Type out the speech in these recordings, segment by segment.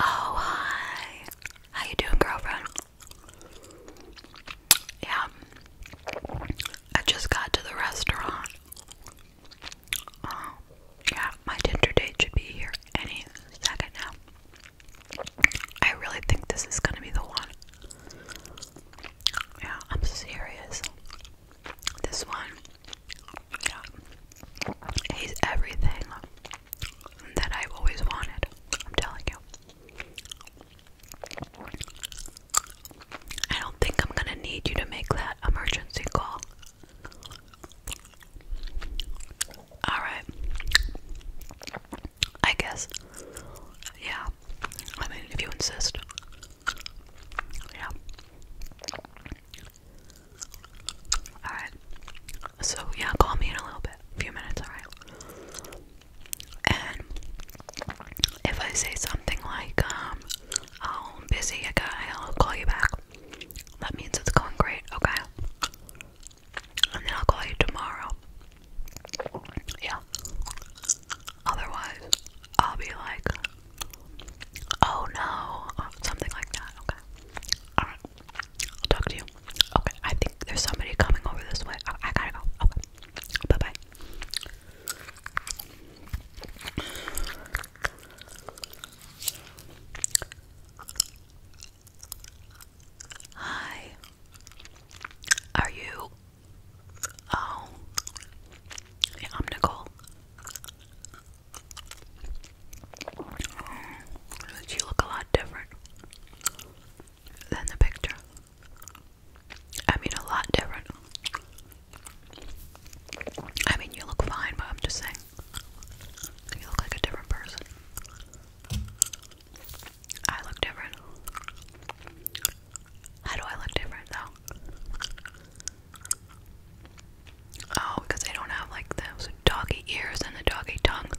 Oh hi. How you doing, girlfriend? Yeah. I just got to the restaurant. Uh, yeah, my Tinder date should be here any second now. I really think this is gonna be the one. Yeah, I'm serious. This one yeah. He's everything that I've always wanted. I'm telling you. I don't think I'm gonna need you to make that emergency call. Alright. I guess. Yeah. I mean, if you insist. Yeah. Alright. So, yeah, call me in a little bit. A few minutes, alright? And if I say something like, um, oh, I'm busy, I will call you back. That means it's going great, okay? And then I'll call you tomorrow. Yeah. Otherwise, I'll be like, oh no, something like that, okay? Alright, I'll talk to you. Okay, I think there's somebody coming over this way. I, gotta go. Okay, bye bye. Hi. Are you? Oh. Yeah, I'm Nicole you look a lot different than the picture. I mean, a lot different. I mean, you look fine, but I'm just saying. You look like a different person. I look different. How do I look different, though? Oh, because I don't have like those doggy ears and the doggy tongue.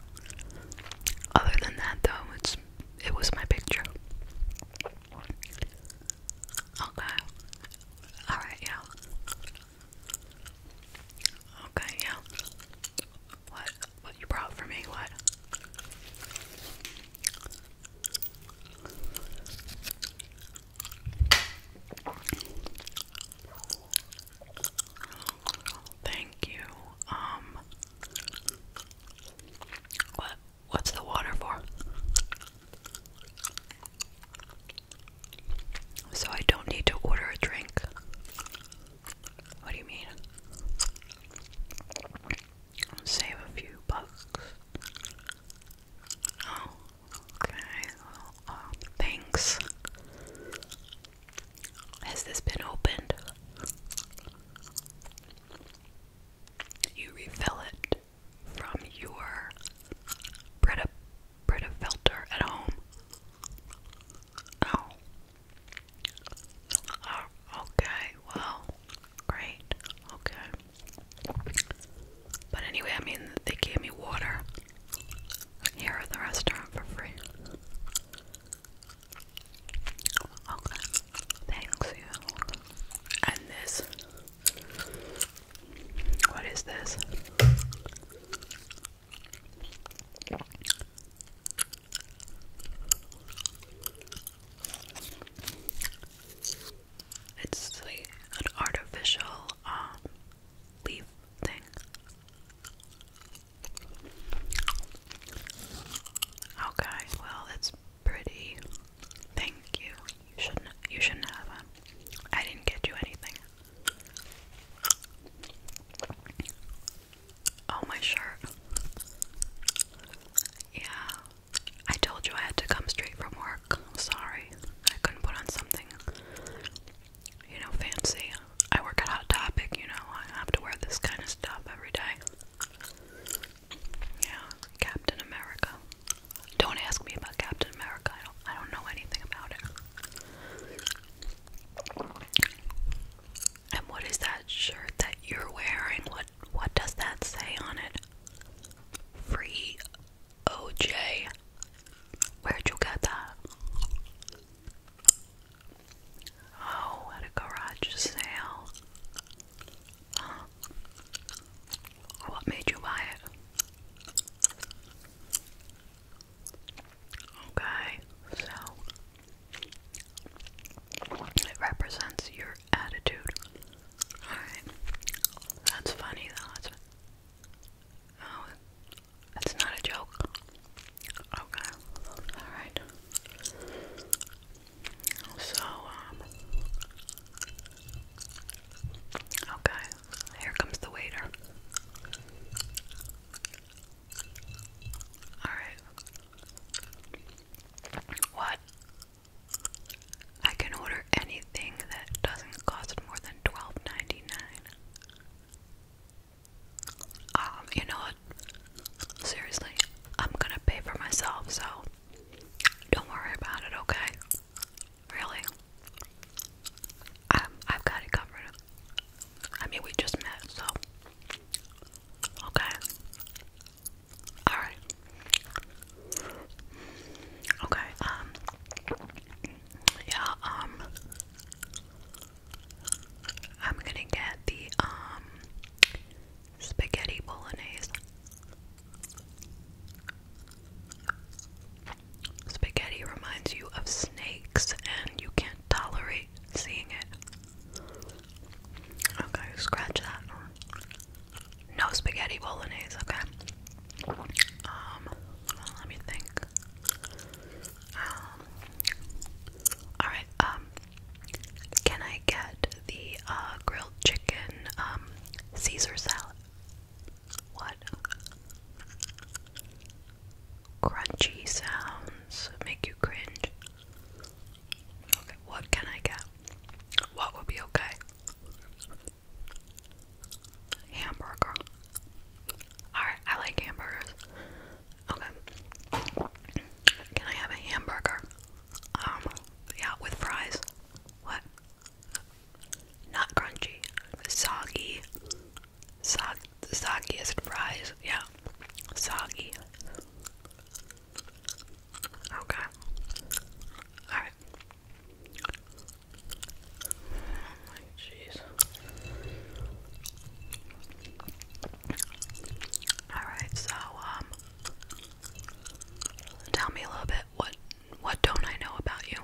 Other than that, though, it's it was my picture. Okay. All right. Yeah. Okay. Yeah. What? What you brought for me? What? Thank you. Um, what what's the water for? So I don't need to order a drink. What do you mean? Save a few bucks. Oh, okay. Well, uh, thanks. Has this been opened? You refill it from your Brita Brita filter at home. Oh. Oh, okay. Well, great. Okay. But anyway, I mean, they gave me water here at the restaurant for free. Okay, thanks you. And this. What is this? It's like an artificial um, leaf thing. Okay, well it's pretty. Thank you. You shouldn't. You shouldn't have um, I didn't get you anything. Oh my shirt. Yeah, I told you I had to come straight from work. sorry. I couldn't put on something, you know, fancy. I work at Hot Topic, you know, I have to wear this kind of stuff every day. Yeah, Captain America. Don't ask me about Captain America. I don't I don't know anything about it. And what is that shirt that you're wearing? What what does that say on it? Free OJ. Where'd you get that? Oh, at a garage sale. What made you buy it? Okay, so it represents your attitude. Alright. That's funny though. That's, oh, that's not a joke. Okay. Alright. So, um, Okay. Here comes the waiter. Alright. What? I can order anything that doesn't cost more than twelve ninety nine. Um, you know what? Seriously, I'm gonna pay for myself, so don't worry about it, okay? Really? Um, I've got it covered. I mean, we just met, so. Okay. Alright. Okay, um yeah, um I'm gonna get the um spaghetti bolognese. Spaghetti reminds you of snakes and you can't tolerate seeing it. Okay, scratch that no spaghetti bolognese, okay? Um, let me think. Um, alright, um, can I get the, uh, grilled chicken, um, Caesar salad? What? Crunchy sounds make you cringe what can I get? What would be okay? Hamburger. Alright, I like hamburgers. Okay. Can I have a hamburger? Um, yeah, with fries. What? Not crunchy. Soggy. Sog soggiest fries. Yeah. Soggy. Okay. Alright. Oh jeez. Alright, so um tell me a little bit what what don't I know about you?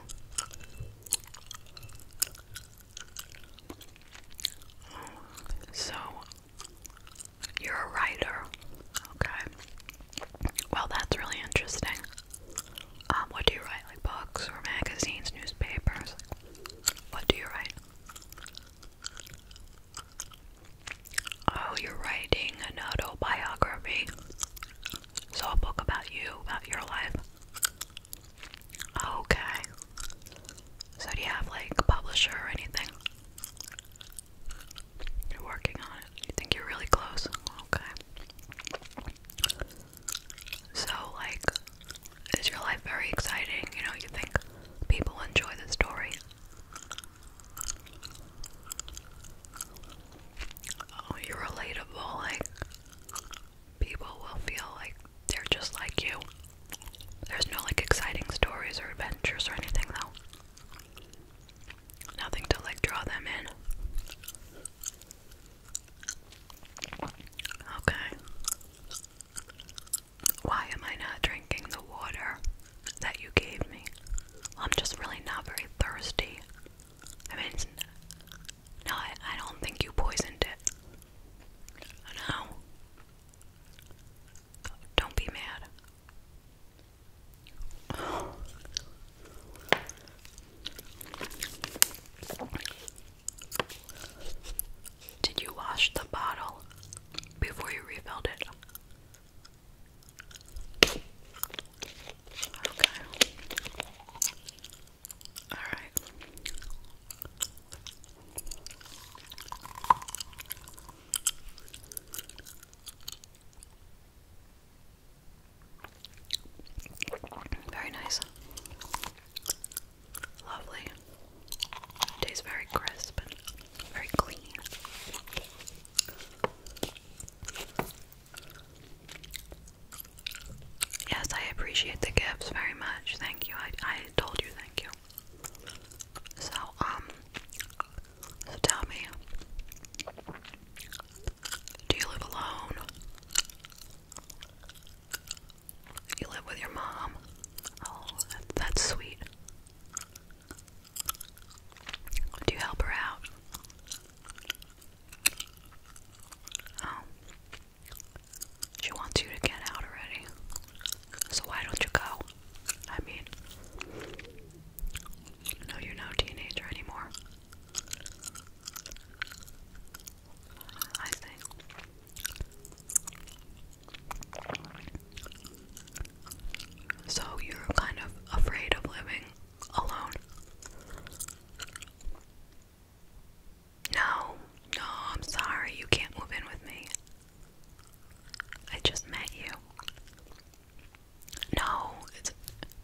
So you're a writer. Okay. Well, that's really interesting. Um, what do you write? Like books or magazines, newspapers? What do you write? Oh, you're writing an autobiography. So, a book about you, about your life. Okay. So, do you have like a publisher or anything? You're working on it. You think you're really close. Okay. So, like, is your life very exciting? You know, you think people enjoy the story. Oh, you're relatable. Like, people will feel like they're just like you. There's no like exciting stories or adventures or anything, though. Nothing to like draw them in. Okay. Why am I not drinking the water that you gave me? I'm just really not very thirsty. I mean, no, I don't think you poisoned it. No. Don't be mad. Did you wash the bottle before you refilled it? Okay. All right. Very nice. Lovely. Tastes very crisp and very clean. Yes, I appreciate the gifts very much. Thank you. I I told you thank you. So, um, so tell me, do you live alone? You live with your mom? Oh, that's sweet. Do you help her out? Oh. She wants you to get out already. So why don't you go? I mean, no, you're no teenager anymore. I think. So you're kind of afraid of living alone. No, no, I'm sorry. You can't move in with me. I just met you. No, it's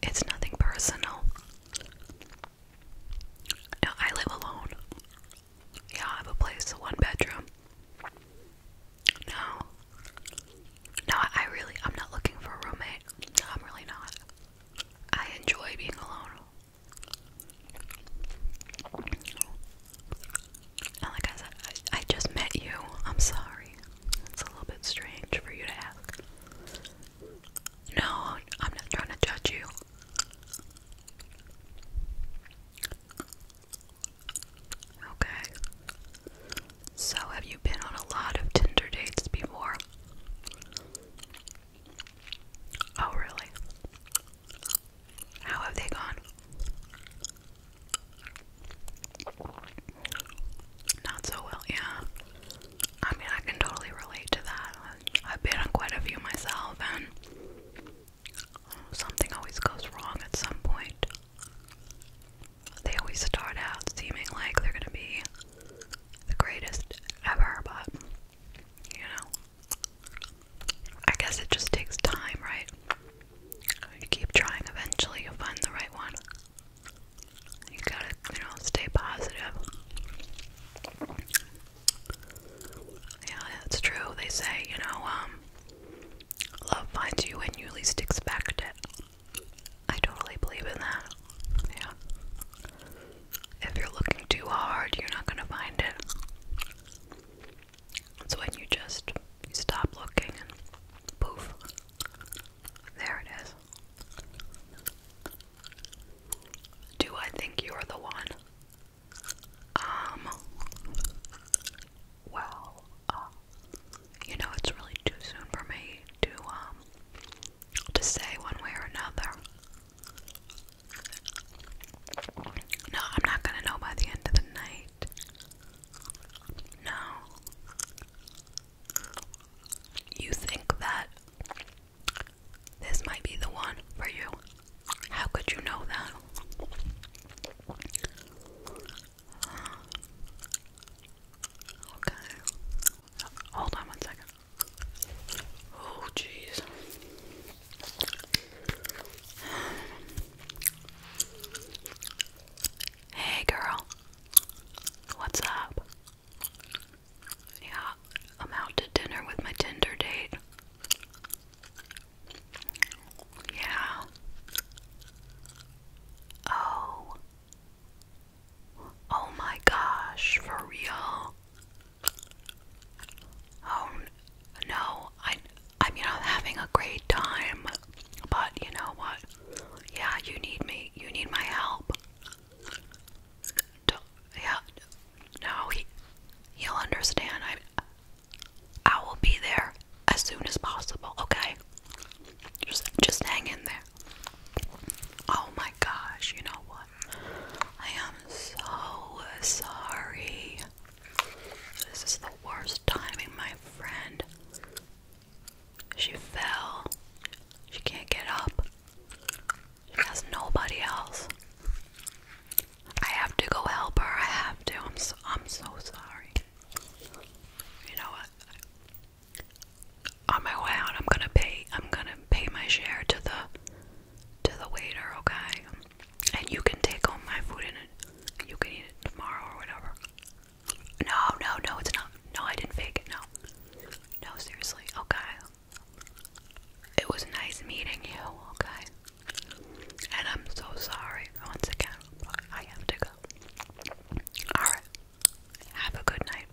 it's nothing personal. No, I live alone. Yeah, I have a place, one bedroom. No. No, I really I'm not looking for a roommate. I'm really not. I enjoy being alone like I said, I just met you. I'm sorry. It's a little bit strange for you to ask. No, I'm not trying to judge you. Okay. So, have you been on a lot of Tinder dates before? Oh, really? How have they gone? Not so well, yeah. I mean, I can totally relate to that. I've been on quite a few myself, and something always goes wrong at some point. They always start out seeming like they're gonna be the greatest ever, but you know, I guess it just takes time, right? You keep trying, eventually you'll find the right one. You gotta, you know, stay positive. Yeah, that's true. They say, you know, um, love finds you when you least expect it. I totally believe in that. Yeah. If you're looking too hard, you're not gonna find it. It's when you just stop looking and poof, there it is. Do I think you're the one? Um, well, uh, you know, it's really too soon for me to, um, to say one way or another. No, I'm not gonna know by the end of the night. No. You think that this might be the one for you? How could you know that? Okay. Hold on one second. Oh, jeez. Hey, girl. What's up? Yeah, I'm out to dinner with my Tinder date. Yeah. Oh. Oh my gosh, for real. Oh no, I I mean I'm having a great time, but you know what? Yeah, you need me. You need my help. yeah, no, he he'll understand. I I will be there as soon as possible. Okay, just just hang in there. Oh my gosh, you know what? I am so sorry. This is the worst timing, my friend. She fell. She can't get up. She has nobody else. I have to go help her. I have to. I'm so, I'm so sorry. You know what? On my way out, I'm gonna pay. I'm gonna pay my share to the to the waiter, okay? And you can take home my food in it. You can eat it tomorrow or whatever. No, no, no, it's not. No, I didn't fake it. No. No, seriously. Okay. It was nice meeting you, okay? And I'm so sorry once again. I have to go. Alright. Have a good night.